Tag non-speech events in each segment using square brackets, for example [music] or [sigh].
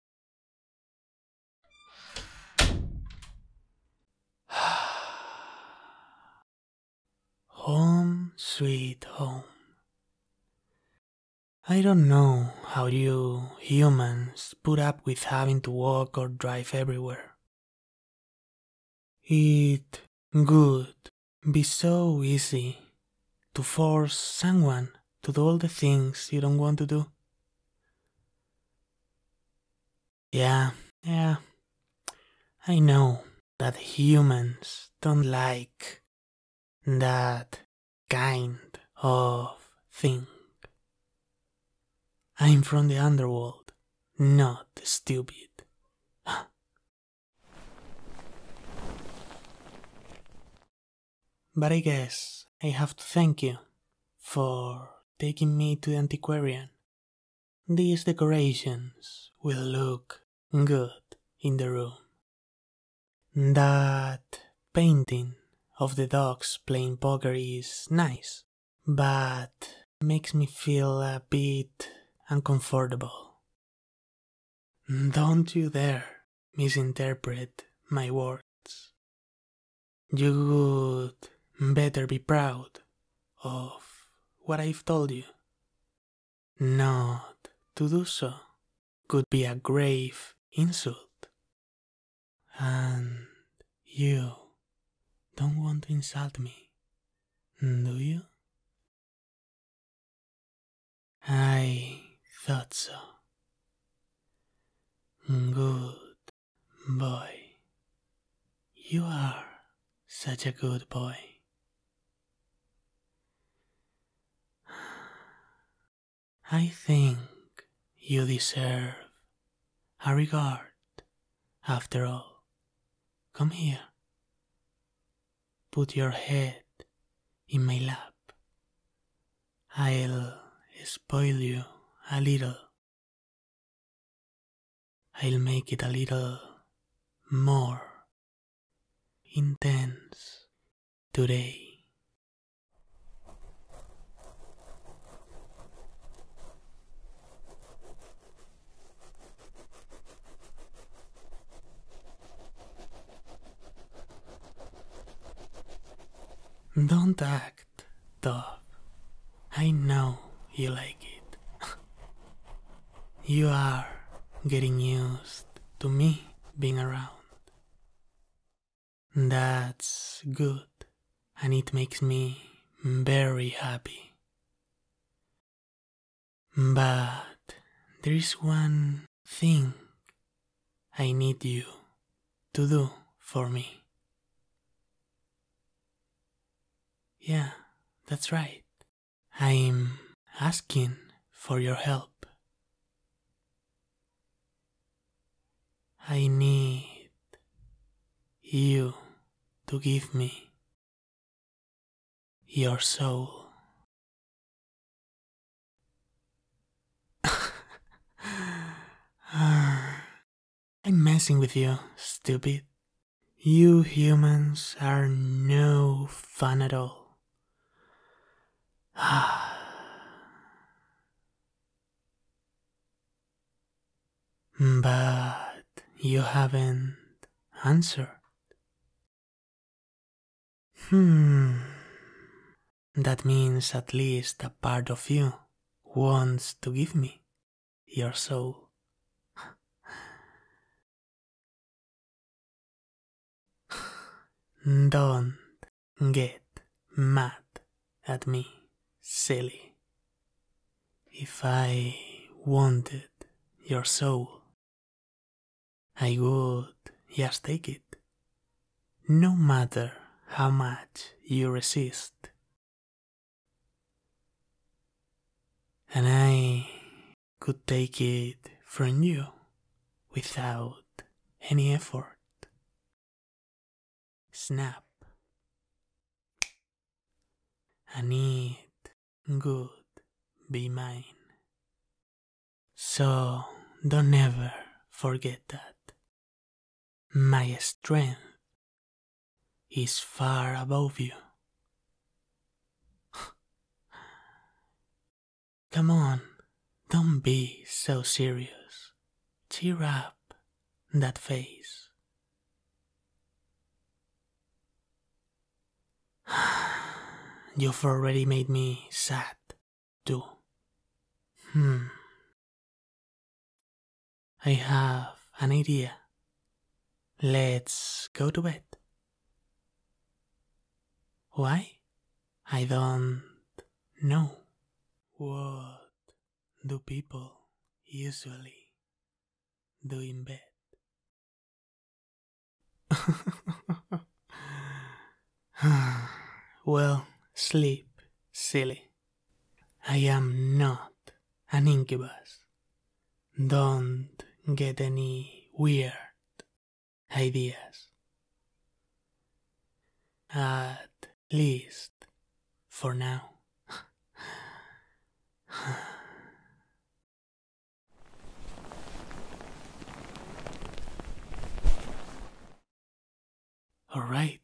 [sighs] home, sweet home. I don't know how you humans put up with having to walk or drive everywhere. It would be so easy to force someone to do all the things you don't want to do. Yeah, yeah. I know that humans don't like that kind of thing. I'm from the underworld, not stupid. [gasps] But I guess I have to thank you for taking me to the antiquarian. These decorations will look good in the room. That painting of the dogs playing poker is nice, but makes me feel a bit uncomfortable. Don't you dare misinterpret my words. You would better be proud of what I've told you. Not to do so could be a grave insult. And you don't want to insult me, do you? I thought so. Good boy. You are such a good boy. I think you deserve a regard after all. Come here. Put your head in my lap I'll spoil you a little. I'll make it a little more intense today. Don't act tough. I know you like it. you are getting used to me being around. That's good, and it makes me very happy. But there is one thing I need you to do for me. Yeah, that's right. I'm asking for your help. I need you to give me your soul. [sighs] I'm messing with you, stupid. You humans are no fun at all. [sighs] but you haven't answered. Hmm. That means at least a part of you wants to give me your soul. [sighs] Don't get mad at me, silly. If I wanted your soul, I would just take it, no matter how much you resist. And I could take it from you without any effort. Snap. And it good be mine. So don't ever forget that. My strength is far above you. [sighs] Come on, don't be so serious. Tear up that face. [sighs] You've already made me sad do. Hmm. I have an idea. Let's go to bed. Why? I don't know. What do people usually do in bed? [sighs] well, sleep, silly. I am not an incubus. Don't get any weird ideas. At least for now. [sighs] [sighs] All right.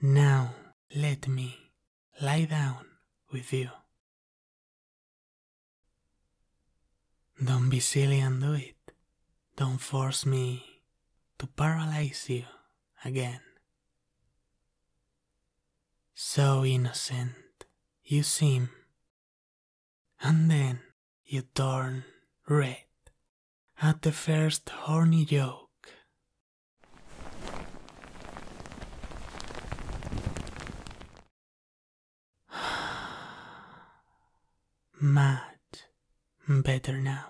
Now let me lie down with you. Don't be silly and do it. Don't force me to paralyze you again. So innocent you seem and then you turn red at the first horny joke. [sighs] Mad? better now.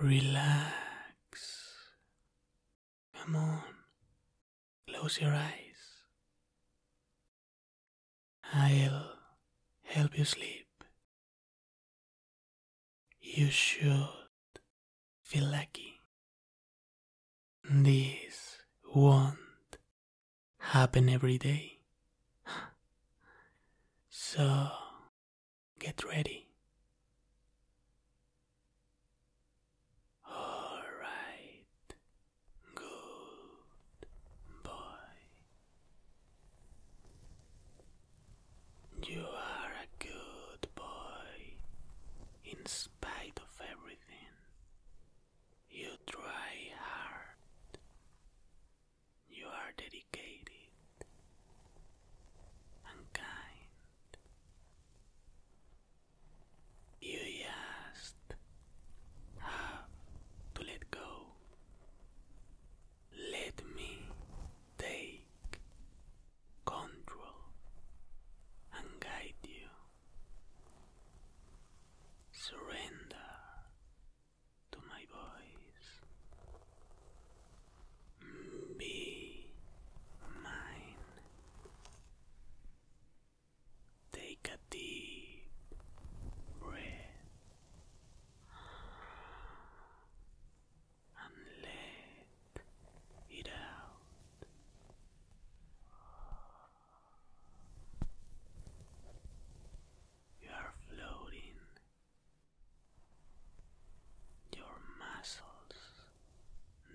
Relax. Come on, Close your eyes. I'll help you sleep. You should feel lucky. This won't happen every day. [sighs] So get ready. All right, good boy. You are a good boy in spite of everything. You try hard. You are dedicated and kind. You just have to let go. Let me take control and guide you. Surrender to my voice. Be mine. Take a deep breath and let it out. You are floating. Your muscles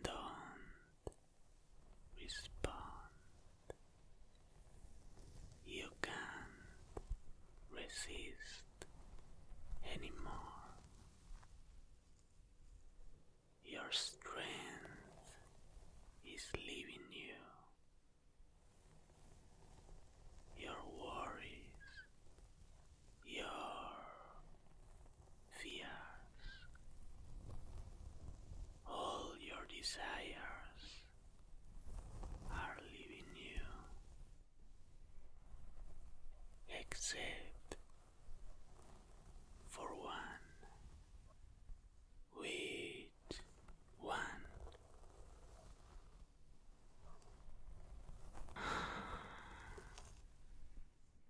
don't respond. You can't resist anymore. Your strength is leaving you. Your worries, your fears, all your desires are leaving you, except for one. Wait one. [sighs]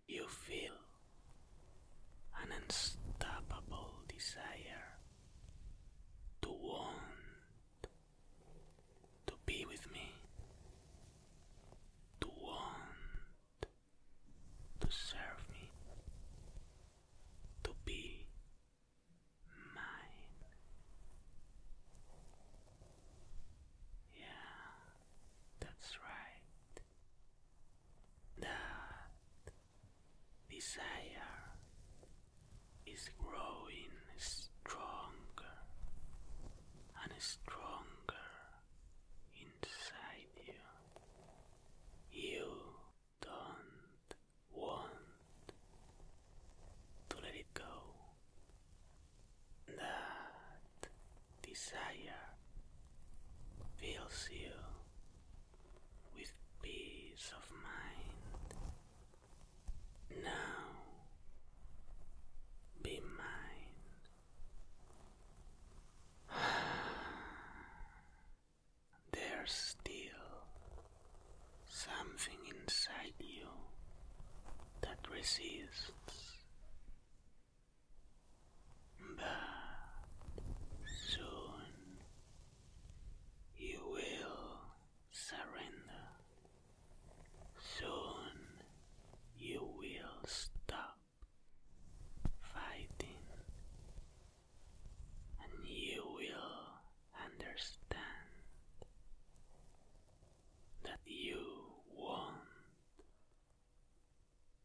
You feel an unstoppable desire to want to be with me, to want to serve me, to be mine. Yeah, that's right that desire is growing stronger and stronger inside you. You don't want to let it go. That desire fills you with peace of mind. Now be mine. [sighs] There's still something inside you that resists but soon you will surrender. Soon you will stop fighting and you will understand that you want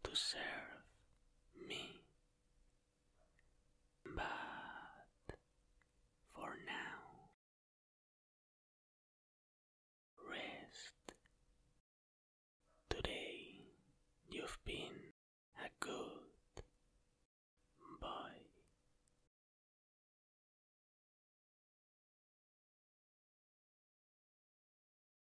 to serve me. But for now, rest. Today you've been a good boy.